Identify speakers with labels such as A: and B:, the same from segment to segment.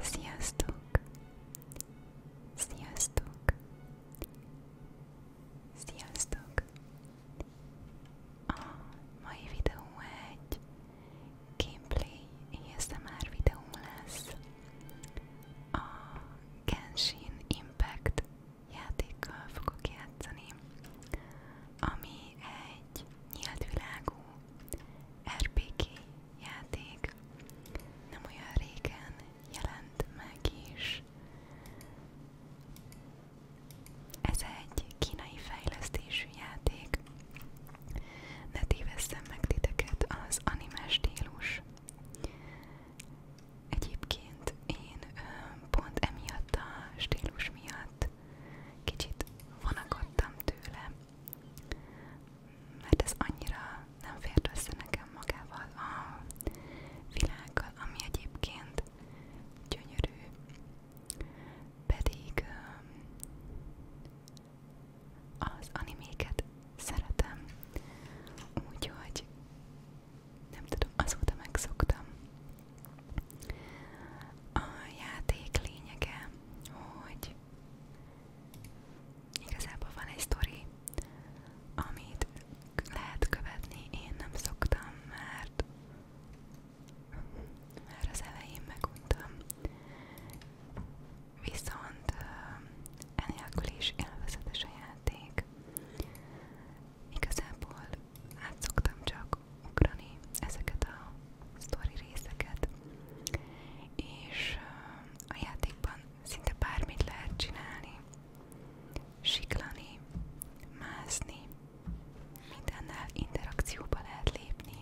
A: Sziasztok! Sziasztok! Sziasztok! A mai videó egy gameplay ASMR videó lesz a Genshin Impact játékkal fogok játszani, ami egy nyílt világú RPG játék nem olyan régen jelent meg is. Ez egy kínai fejlesztésű játék. Ne tévesszem meg titeket az animás stílus. Egyébként én pont emiatt a stílus miatt kicsit vonakodtam tőle, mert ez annyira nem fért össze nekem magával a világgal, ami egyébként gyönyörű, pedig az animéket szeretem, úgyhogy nem tudom, azóta megszoktam. A játék lényege, hogy Igazából van egy sztori, amit lehet követni, én nem szoktam, mert már az elején meguntam. Viszont enélkül is élvezetes a játék. Igazából át szoktam csak ugrani ezeket a sztori részeket, és a játékban szinte bármit lehet csinálni, siklani, mászni, mindennel interakcióba lehet lépni,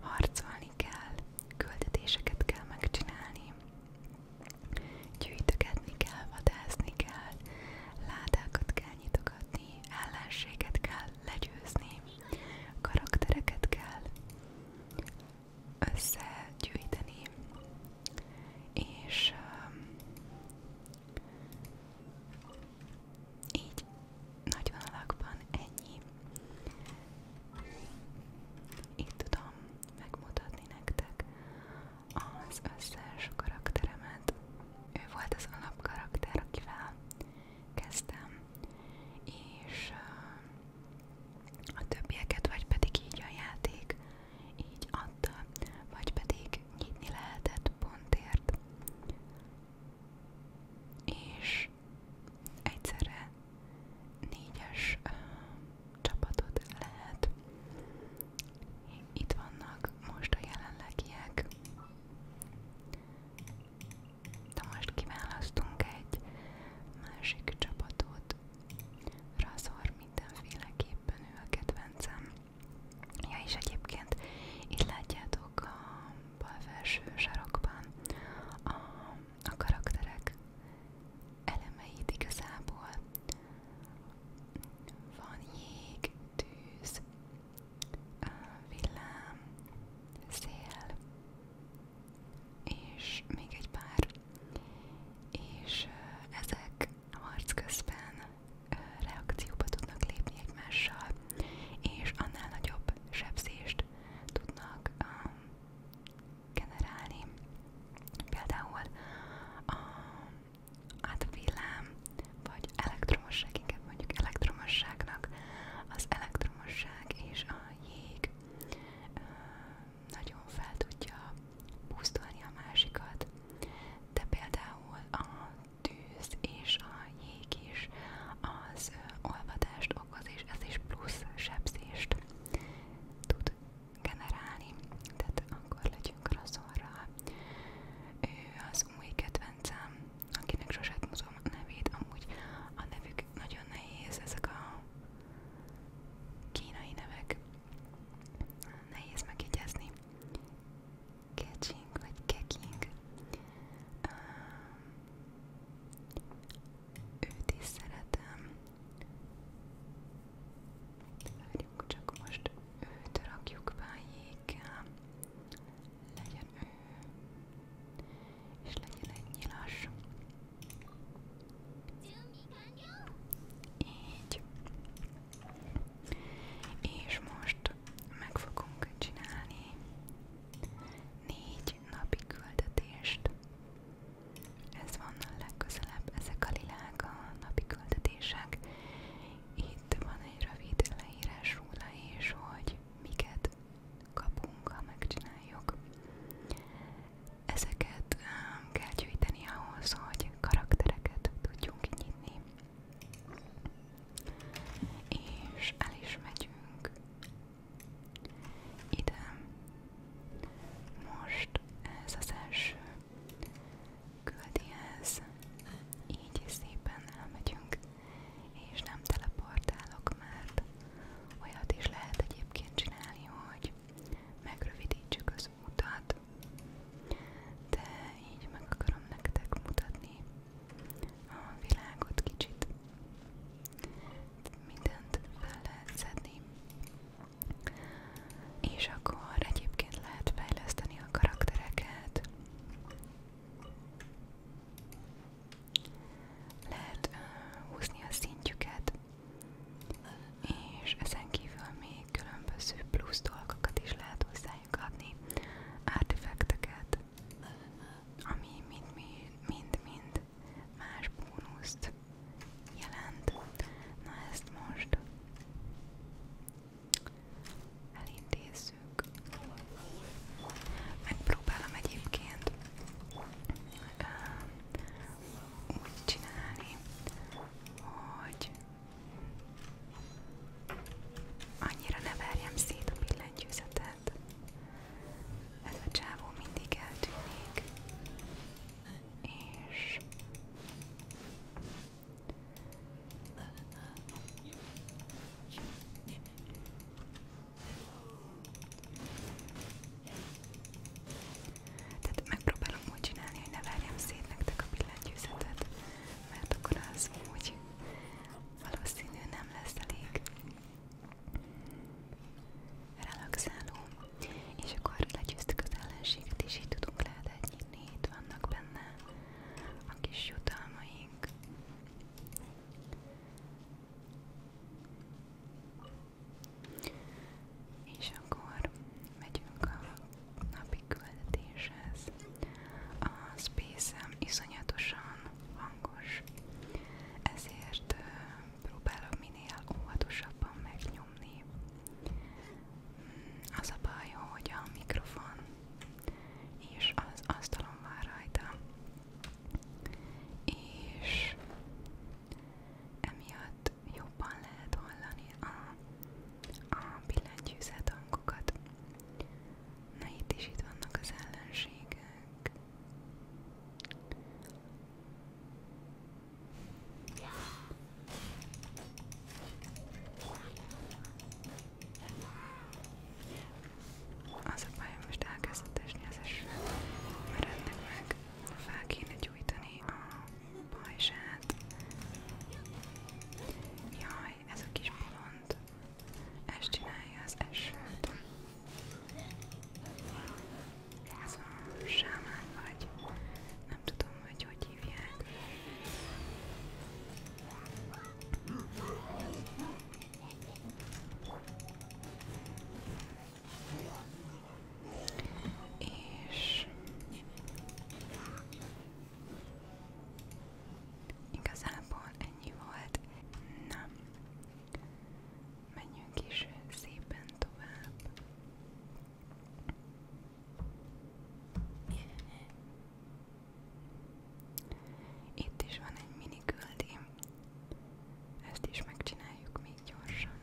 A: harcolni kell, küldetéseket kell megcsinálni, gyűjtögetni kell, vadászni kell, ládákat kell nyitogatni, ellenséget kell legyőzni, karaktereket kell összegyűjteni, és um, így nagy vonalakban ennyi. Itt tudom megmutatni nektek az összes karakteremet. Ő volt az alapkarakter, akivel kezdtem, és a többieket vagy pedig így a játék így adta, vagy pedig nyitni lehetett pontért. És egyszerre négyes ö, csapatot lehet. Itt vannak most a jelenlegiek de most kiválasztunk egy másik csapatot. Razor mindenféleképpen ő a kedvencem. Ja, és egyébként itt látjátok a bal felső sarokban a, a karakterek elemeit igazából. Van jég, tűz, villám, szél, és még egy pár, és ezek harc közben reakcióba tudnak lépni egymással, és annál nagyobb sebzést tudnak um, generálni. Például a hát villám, vagy elektromosság, inkább mondjuk elektromosságnak az elektromosság vitorosság és a jég nagyon fel tudja pusztulni a másikat, de például a tűz és a jég is az olvadást okoz, és ez is plusz sebzést tud generálni, tehát akkor legyünk rosszorral. Ő az új kedvencem, akinek sosem mozgom a nevét, amúgy a nevük nagyon nehéz, ezek a kínai nevek, nehéz megjegyezni. Kecsing vagy Keking. Uh, őt is szeretem. Várjunk csak most, őt rakjuk be a legyen ő, és legyen egy nyilas. Így. És most meg fogunk csinálni négy napi küldetést. Ez van a legközelebb, ezek a lilák a napi küldetések. Itt van egy rövid leírás róla és hogy miket kapunk, ha megcsináljuk. Ezeket um, kell gyűjteni ahhoz, hogy karaktereket tudjunk nyitni. És el is megyünk ide. Most ez az első küldihez, így szépen elmegyünk és nem teleportálok, mert olyat is lehet egyébként csinálni, hogy megrövidítsük az utat, de így meg akarom nektek mutatni a világot kicsit. Mindent fel lehet szedni. És akkor egyébként lehet fejleszteni a karaktereket. Lehet uh, húzni a szintjüket, és ezen kívül még különböző plusz dolgokat is lehet hozzájuk adni, artefakteket, ami mind-mind más bónuszt jelent. Na ezt most elintézzük. Megpróbálom egyébként um, úgy csinálni, hogy annyira ne verjem szét a billentyűzetet. Ez a csávó mindig eltűnik, és tehát megpróbálom úgy csinálni, hogy ne várjam szét nektek a billentyűzetet, mert akkor az úgy valószínű nem lesz elég relaxáló. És akkor legyőztük az ellenséget, és így tudunk lehetet nyitni, itt vannak benne a kis jutalmaink. És akkor megyünk a napi küldetéshez. A space-em iszonyatosan hangos, ezért próbálok minél óvatosabban megnyomni. Hmm, az a baj, hogy a mikrofon és az asztalon van rajta, és emiatt jobban lehet hallani a, a billentyűzet hangokat. Na itt is itt vannak az ellenségek. Az a bajom, most elkezdett esni az eső, mert ennek meg fel kéne gyújtani a pajzsát. Jaj, ez a kis bolond, ezt csinálja az esőt. Ez a sámán vagy, nem tudom, hogy hogy hívják. És igazából ennyi volt. Na, menjünk is szépen tovább. Itt is van egy mini küldim. Ezt is megcsináljuk még gyorsan.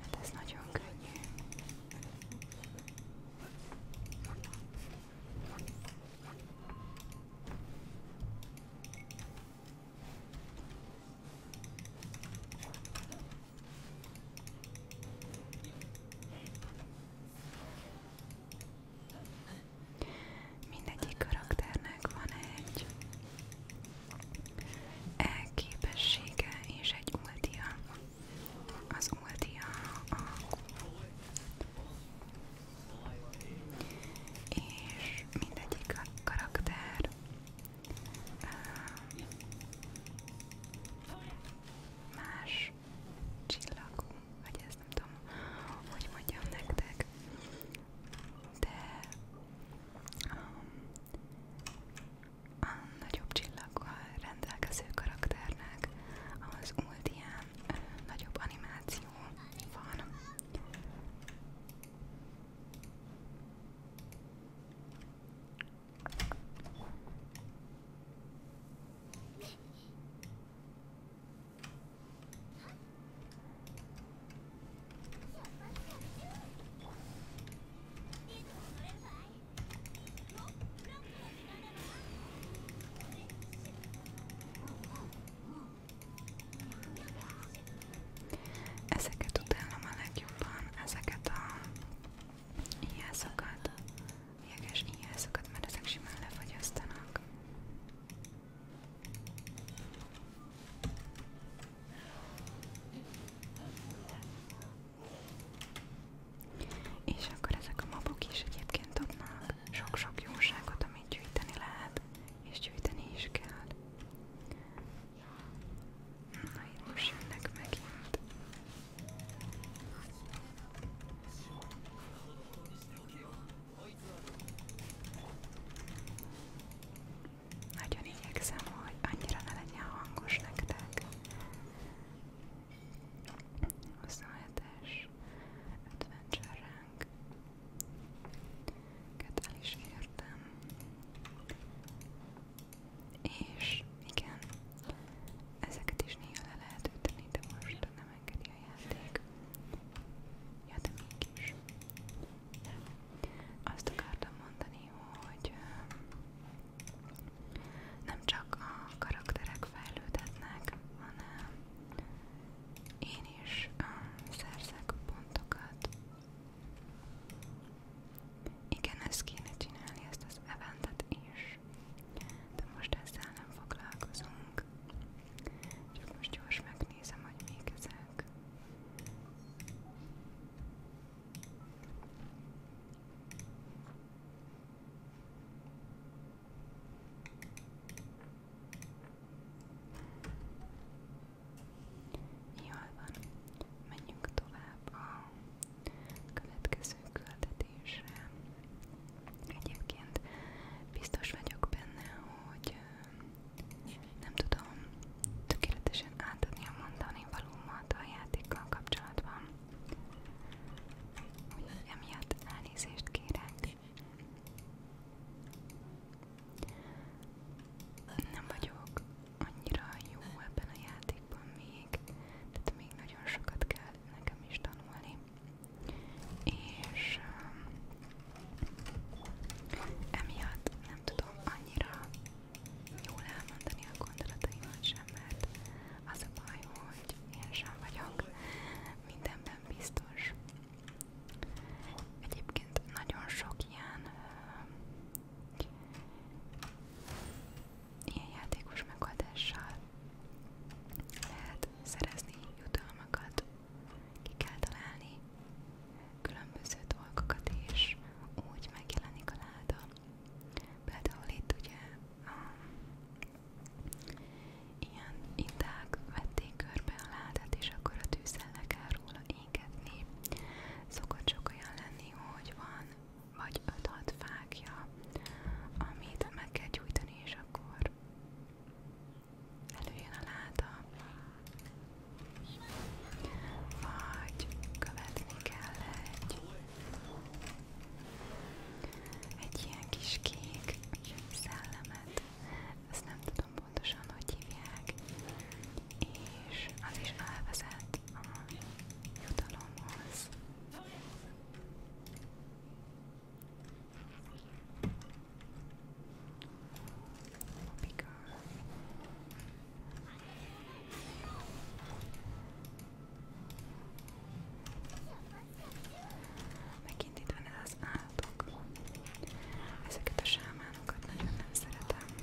A: Hát ez nagyon könnyű. Mindegyik karakternek van egy elképessége és egy ultia. Az ultia a és mindegyik karakter más csillagú, vagy ezt nem tudom, hogy mondjam nektek, de um, a nagyobb csillaggal rendelkező karakternek az volt ilyen ö, nagyobb animáció van. Ezeket utálom a legjobban, ezeket a Ilyászokat. Jeges ilyászokat, mert ezek simán lefagyasztanak. És akkor ezek a mabok is egyébként adnak sok-sok jóságot, amit gyűjteni lehet, és gyűjteni is kell. Na itt most jönnek megint. Nagyon igyekszem, hogy annyira ne legyen hangos nektek. 27-es Adventure Rank. Ket el is értem. És igen, ezeket is néha le lehet ütni, de most nem engedi a játék. Ja, de mégis. Azt akartam mondani, hogy nem csak a karakterek fejlődhetnek, hanem én is um, szerzek pontokat. Igen, ezt kéne csinálni, ezt az eventet is. De most ezzel nem foglalkozunk. Csak most gyors megnézem, hogy még ezek. Jól van, menjünk tovább a következő küldetésre. Egyébként biztos vagyok benne, hogy nem tudom tökéletesen átadni a mondani valómat a játékkal kapcsolatban. Úgyhogy emiatt elnézést kérek. Nem vagyok annyira jó ebben a játékban még, még, tehát még nagyon sokat kell nekem is tanulni. És um, emiatt nem tudom annyira jól elmondani a gondolataimat sem, mert az a baj, hogy én sem vagyok mindenben biztos. Egyébként nagyon sok ilyen um, Ilyen játékos megoldással lehet szerezni jutalmakat, ki kell találni különböző dolgokat, és úgy megjelenik a láda. Például itt ugye a, um, ilyen indák vették körbe a ládát, és akkor a tűzzel le kell róla égetni. Szokott sok olyan lenni, hogy van vagy 5-6 fákja, amit meg kell gyújtani, és akkor előjön a láda, vagy követni kell egy, egy ilyen kis kék szellemet, ezt nem tudom pontosan, hogy hívják, és az is elvezet a jutalomhoz. Pico. Megint itt van az állatok. Ezeket a sámánokat nagyon nem szeretem.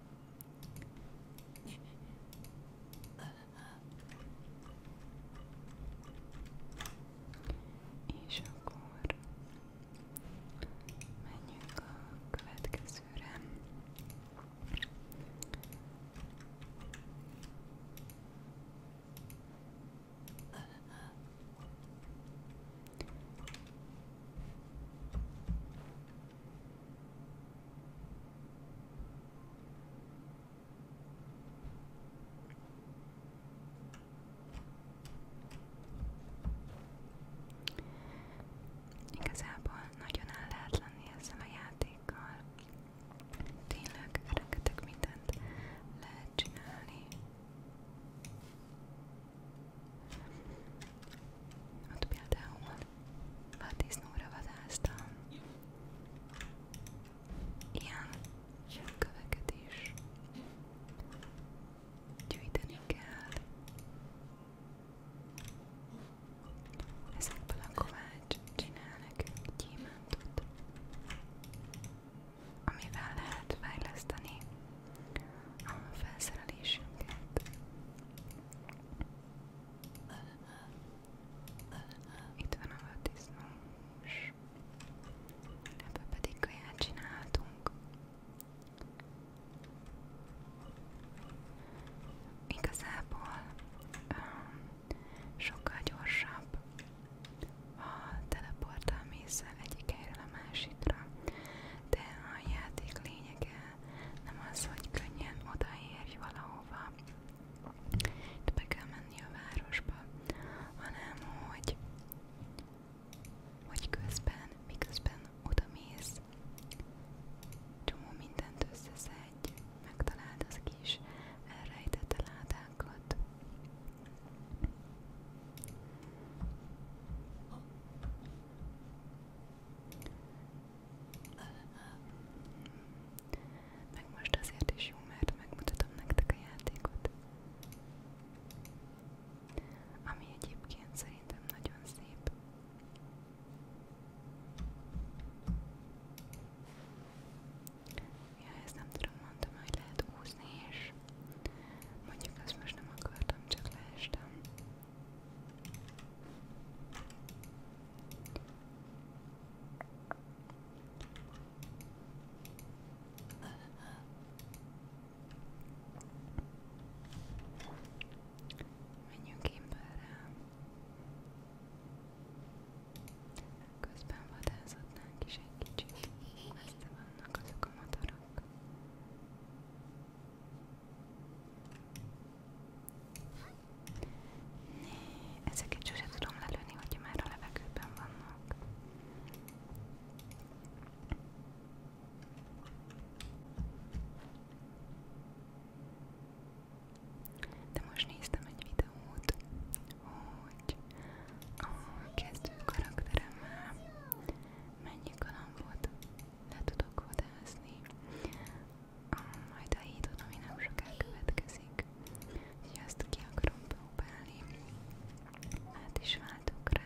A: És akkor menjünk a következőre. Igazából nagyon állátlanni ezzel a játékkal. Tényleg rengeteg mindent lehet csinálni. Ott például vaddisznóra vadáztam. Ilyen semmköveket is gyűjteni kell. Ezekből a kovács csinál nekünk gyémántot, amivel lehet fejleszteni a felszerelésünket. Itt van a vaddisznós. Ebből pedig kaját csináltunk. Igazából um, sokkal gyorsabb a teleportálmészsel egyik helyről a másikra, de a játék lényege nem az, hogy könnyen odaérj valahova, itt be kell menni a városba, hanem hogy, hogy közben, miközben odamész, csomó mindent összeszedj, megtaláld az kis elrejtett ládákat. Meg most azért is jó, mert megmutatom nektek a játékot. Ami egyébként szerintem nagyon szép. Ja, ezt nem tudom, mondtam, hogy lehet úszni, és mondjuk azt most nem akartam, csak leestem. Menjünk emberre. Közben vadászatnánk is egy kicsit. Messze vannak azok a motorok. Né, ezeket sose tudom lelőni, hogyha már a levegőben vannak. De most néztem egy videót, hogy a kezdő karakteremmel mennyi kalambot le tudok vadászni majd a hídon, ami nem soká következik, és azt ki akarom próbálni. Hát is váltok rá.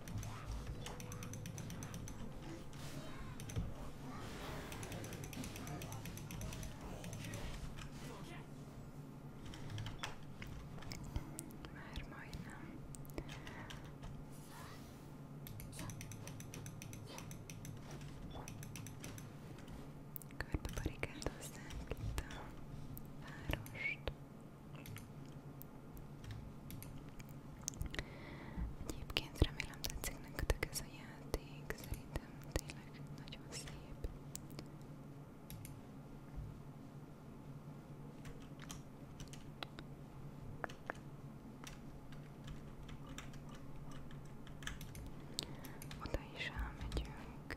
A: Már majdnem. Körbe barikádozták itt a várost. Egyébként remélem tetszik nektek ez a játék, szerintem tényleg nagyon szép. Oda is elmegyünk.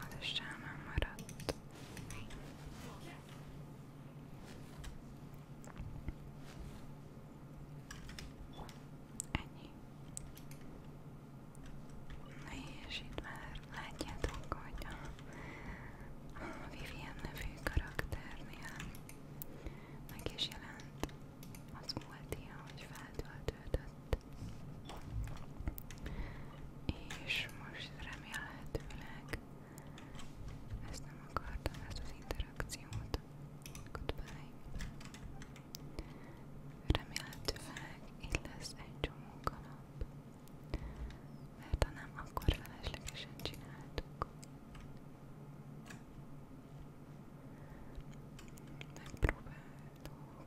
A: Az is sámán maradt. Ennyi. Na és itt már látjátok, hogy a, a Vivian nevű karakternél meg is jelent az múlt ilyen, hogy feltöltődött és most remélhetőleg ezt nem akartam, ezt az interakciót. Goodbye. Remélhetőleg itt lesz egy csomó kalap, mert ha nem, akkor feleslegesen csináltuk. Megpróbálok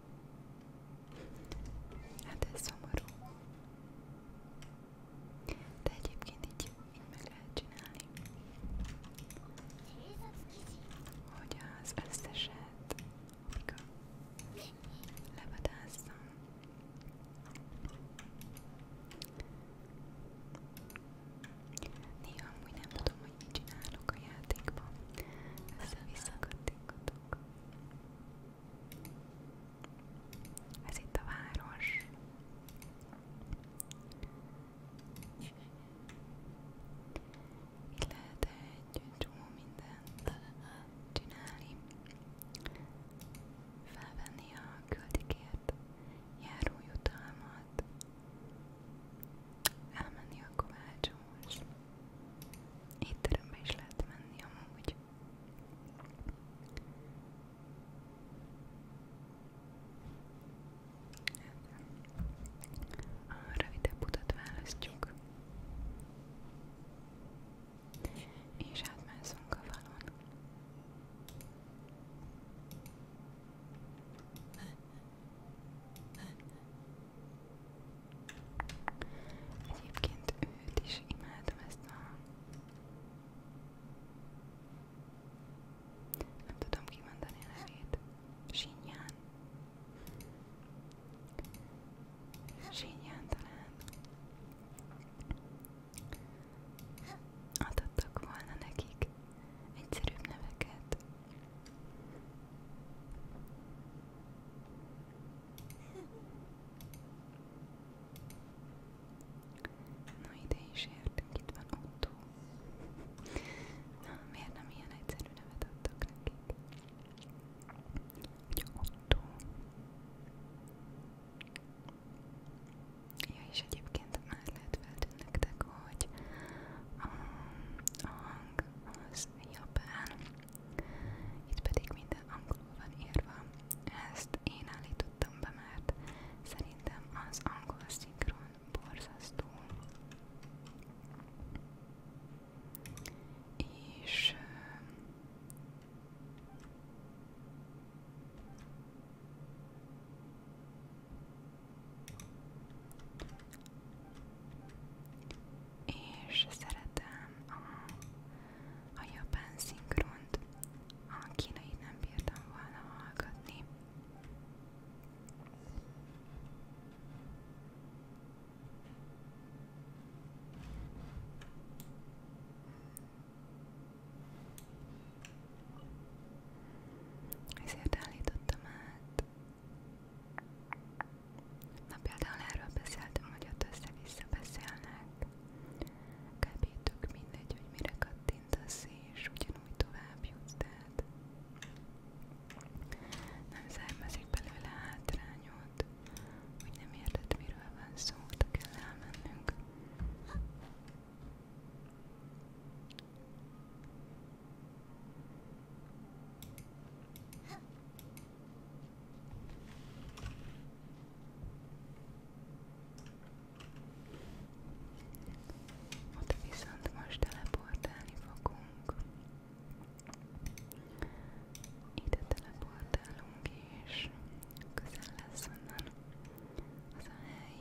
A: Hát ez szomorú. De egyébként így, így meg lehet csinálni. Hogy az összeset levadázzam. Néha amúgy nem tudom, hogy mit csinálok a játékban. Össze-vissza kattinkodom. vannak. Ez itt a város. Itt lehet egy csomó mindent csinálni. Felvenni a küldikért járó jutalmat, elmenni a kovácshoz, Étterembe is lehet menni amúgy. A rövidebb utat választjuk. És átmászunk a falon. Egyébként őt is imádom ezt a... Nem tudom kimondani a nevét. Sinján. Sinján talán. Adottak volna nekik egyszerűbb neveket, Na ide is értünk, itt van Otto. Na, miért nem ilyen egyszerű nevet adtak nekik? Hogy Otto. Ja, és egyébként már lehet feltűnni nektek, hogy a, a hang az japán, itt pedig minden angolul van írva. Ezt én állítottam be, mert szerintem az angol szinkron borzasztó. És és szeretem a, a japán szinkront, a kínai nem bírtam volna hallgatni. Ezért állítottam át Na például erről beszéltem, hogy ott össze-vissza beszélnek. Kb. tök mindegy, hogy mire kattintasz, és ugyanúgy tovább jutsz, tehát nem származik belőle hátrányod, hogy nem érted, miről van szó, de kell elmennünk. Ott viszont most teleportálni fogunk. Ide teleportálunk és közel lesz onnan az a hely.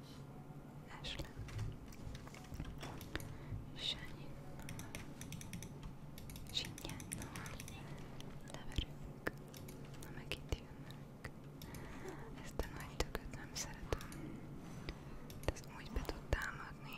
A: Ashley Sanyannal Sinyannal leverünk Na meg itt jönnek Ezt a nagy tököt nem szeretem De ezt úgy be tud támadni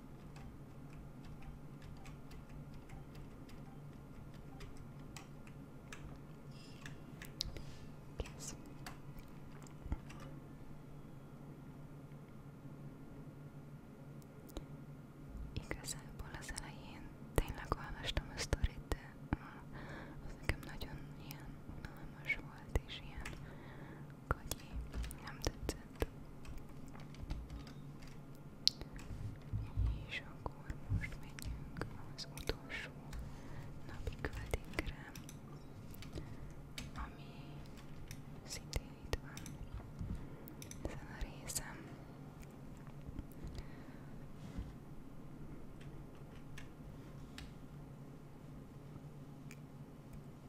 A: Yes. Igazából az elején tényleg olvastam a sztorit, de az nekem nagyon ilyen unalmas volt, és ilyen Kagyi, nem tetszett. És akkor most megyünk az utolsó napi költénkre, ami szintén itt van ezen a részem.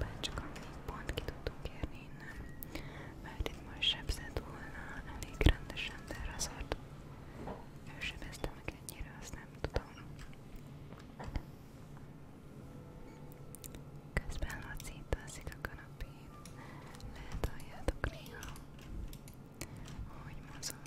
A: Bárcsak amit pont ki tudtunk érni innen, mert itt most sebzett volna elég rendesen, de azért ő sebezte meg ennyire, azt nem tudom. Közben Laci itt alszik a kanapén, lehet halljátok néha, ahogy mozog.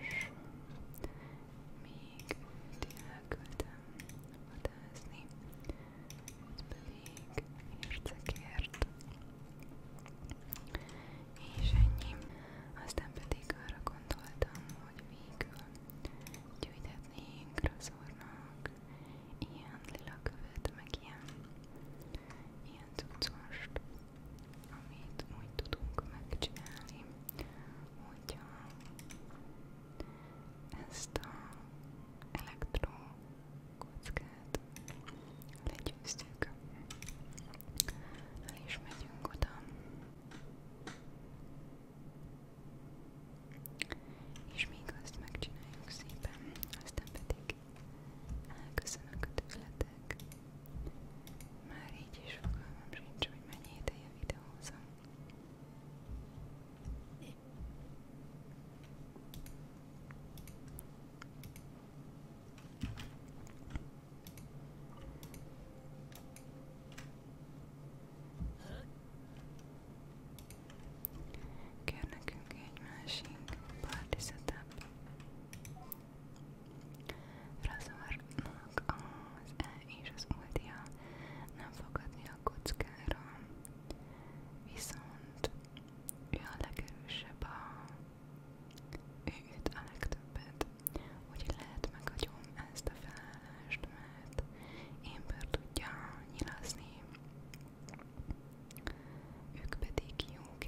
A: és még itt elküldtem vadászni, ez pedig ércekért, és ennyi. Aztán pedig arra gondoltam, hogy végül gyűjthetnénk Razornak ilyen lila követ, meg ilyen ilyen cuccost amit úgy tudunk megcsinálni, hogyha ezt a elektrokockát legyőztük. El is megyünk oda. És még azt megcsináljuk szépen, aztán pedig elköszönök a tőletek meg. Már így is fogalmam sincs, hogy mennyi ideje videózom. Kér nekünk egy másik party setup. Frazornak az E és az ultia nem fogadni a kockára, viszont ő a legerősebb a... ő üt a legtöbbet, úgyhogy lehet meghagyom ezt a felállást, mert Émber tudja nyilazni, ők pedig jók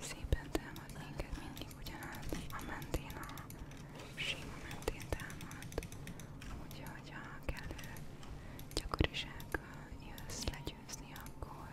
A: Szépen támad minket mindig ugyanaz, a mentén, a sima mentén támad, úgyhogy ha kellő gyakorisággal jössz legyőzni, akkor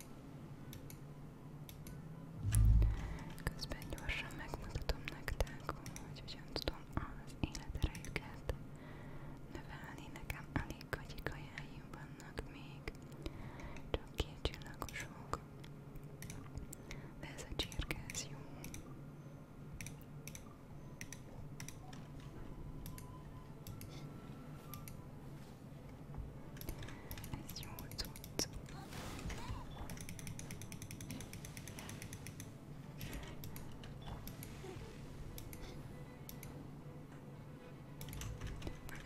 A: Közben gyorsan megmutatom nektek, hogy hogyan tudom az életerejüket növelni. Nekem alig kagyik ajánljuk vannak még, csak két csillagosok. De ez a csirke, ez jó. Allez, on retourne.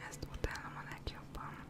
A: Ezt utálom a legjobban.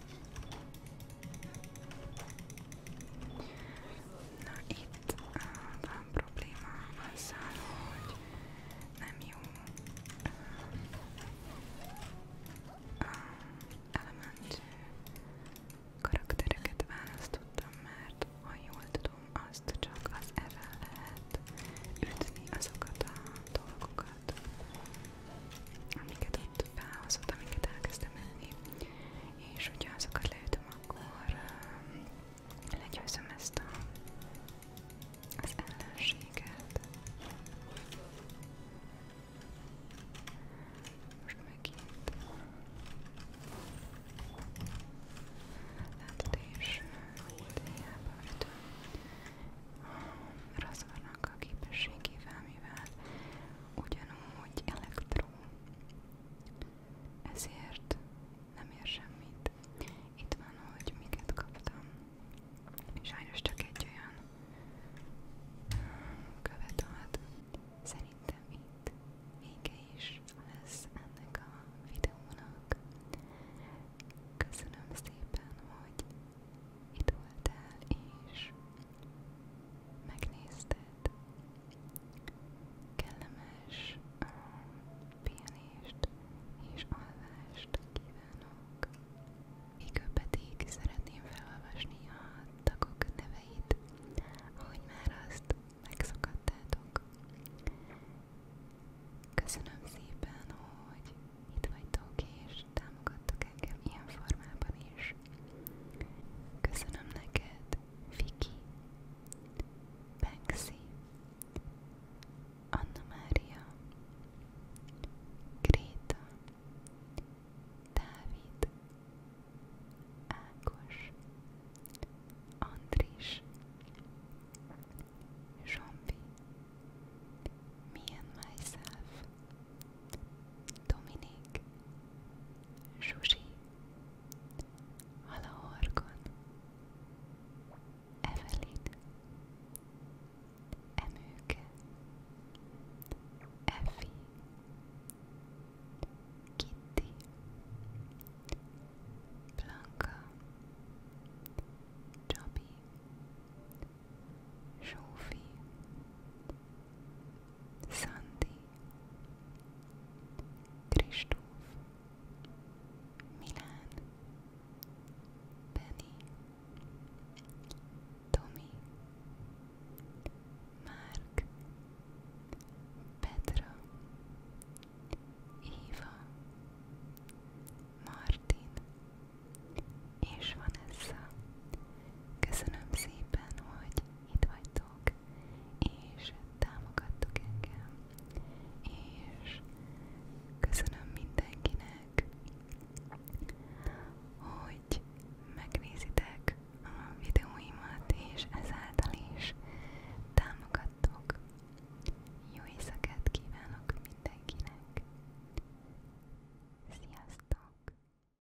A: Na itt van probléma azzal, hogy nem jó elementű karaktereket választottam, mert ha jól tudom, azt csak az evel lehet ütni azokat a dolgokat, amiket ott felhozott, amiket elkezdtem menni és hogyha azokat leütöm, akkor um, legyőzöm ezt a, az ellenséget. Most megint. Látod és idejába ütöm a razornak a képességével, mivel ugyanúgy elektro ezért nem ér semmit. Itt van, hogy miket kaptam. Sajnos csak egy olyan követ ad. Szerintem itt vége is lesz ennek a videónak. Köszönöm szépen, hogy itt voltál, és megnézted. Kellemes um, pihenést és alvást kívánok. Végül pedig szeretném felolvasni a tagok neveit, ahogy már azt megszokattátok. Köszönöm szépen, hogy itt vagytok és támogattok engem ilyen formában is. Köszönöm neked, Viki, Banksy, Anna Mária, Gréta, Dávid, Ákos, Andris, Zsombi, Me and Myself, Dominik, Zsuzsi, Halaorgon, Evelyn, Emőke, Effi, Kitty, Blanka, Csabi, Zsófi, Szandi, Kristóf, Milán, Benny, Tomi, Márk, Petra, Éva, Martin és Vanessa. Köszönöm szépen, hogy itt vagytok, és támogattok engem, és köszönöm mindenkinek, hogy megnézitek a videóimat, és ezáltal is támogattok. Jó éjszakát kívánok mindenkinek! Sziasztok!